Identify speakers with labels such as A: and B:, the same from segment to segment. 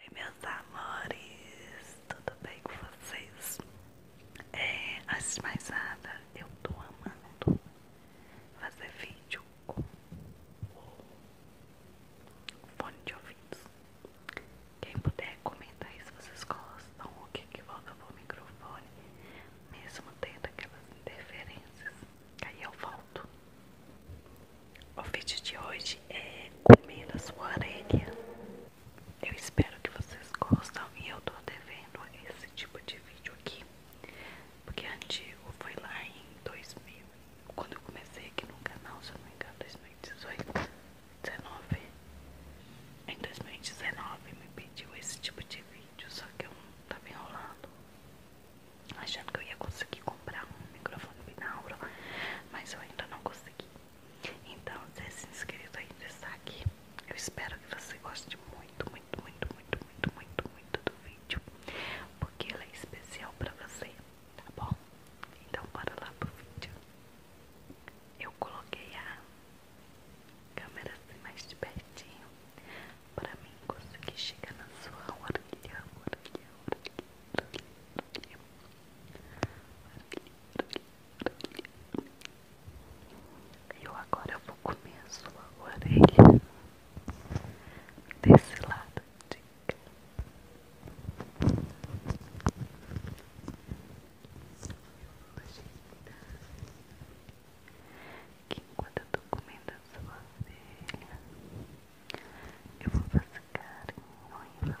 A: Oi meus amores, tudo bem com vocês? É, antes de mais nada, eu tô amando fazer vídeo com o fone de ouvidos. Quem puder comenta aí se vocês gostam, o que que volta pro microfone, mesmo tendo aquelas interferências, aí eu volto. O vídeo de hoje é comer comida sua orelha. Eu espero que vocês gostem. e eu tô devendo esse tipo de vídeo aqui. Porque antigo foi lá em 2000, quando eu comecei aqui no canal, se eu não me engano, 2018, 19. Em 2019 me pediu esse tipo de vídeo, só que eu não tava enrolando achando que eu ia conseguir comprar um microfone binauro, mas eu ainda não consegui. Então, se é inscrito ainda está aqui, eu espero que você goste muito, muito, muito, muito, muito, muito, muito do vídeo, porque ele é especial para você, tá bom? Então, bora lá pro vídeo. Eu coloquei a câmera assim mais de pertinho para mim conseguir chegar na sua orelha, orelha, orelha. Eu agora eu vou comer a sua orelha desse lado de cá. Que enquanto eu tô comendo a sua orelha, eu vou fazer carinho em você.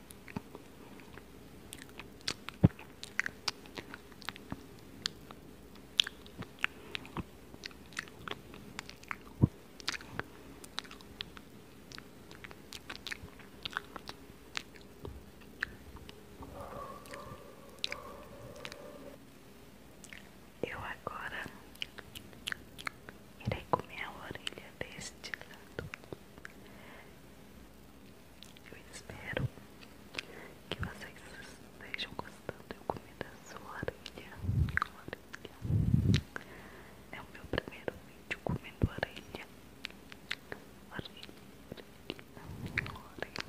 A: Eu agora irei comer a orelha deste lado. Eu espero que vocês estejam gostando. Eu comi da sua orelha. É o meu primeiro vídeo comendo orelha. Orelha. Orelha.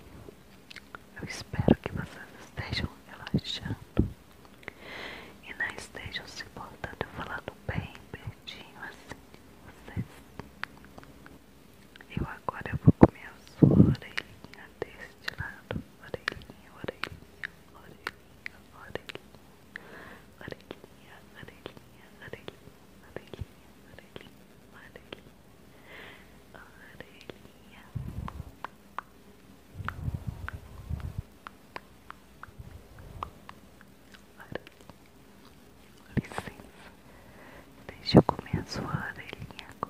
A: Eu espero que vocês estejam relaxando. E não estejam se importando falando bem, bem, assim vocês. Eu agora vou comer a sua orelhinha deste lado. Orelhinha, orelhinha, orelhinha, orelhinha, orelhinha, orelhinha, orelhinha, orelhinha, orelhinha, orelhinha, orelhinha. Orelhinha, Licença, deixa eu comer a sua orelhinha agora.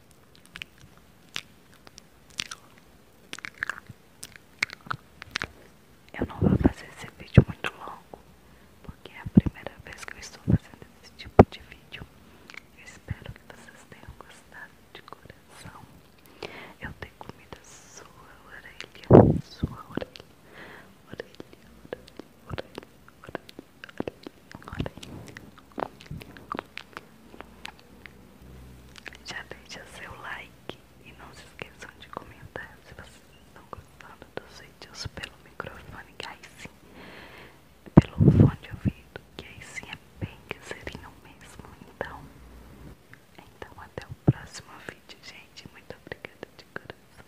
A: Eu não vou fazer esse vídeo muito longo, porque é a primeira vez que eu estou fazendo esse tipo de vídeo. Eu espero que vocês tenham gostado de coração. Eu tenho comida sua orelha, sua orelha, orelha, orelha, orelha, orelha. orelha. Já deixa seu like e não se esqueçam de comentar se vocês estão gostando dos vídeos pelo microfone, que aí sim, pelo fone de ouvido, que aí sim é bem que mesmo. Então, então até o próximo vídeo, gente. Muito obrigada de coração.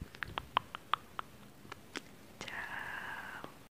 A: Tchau.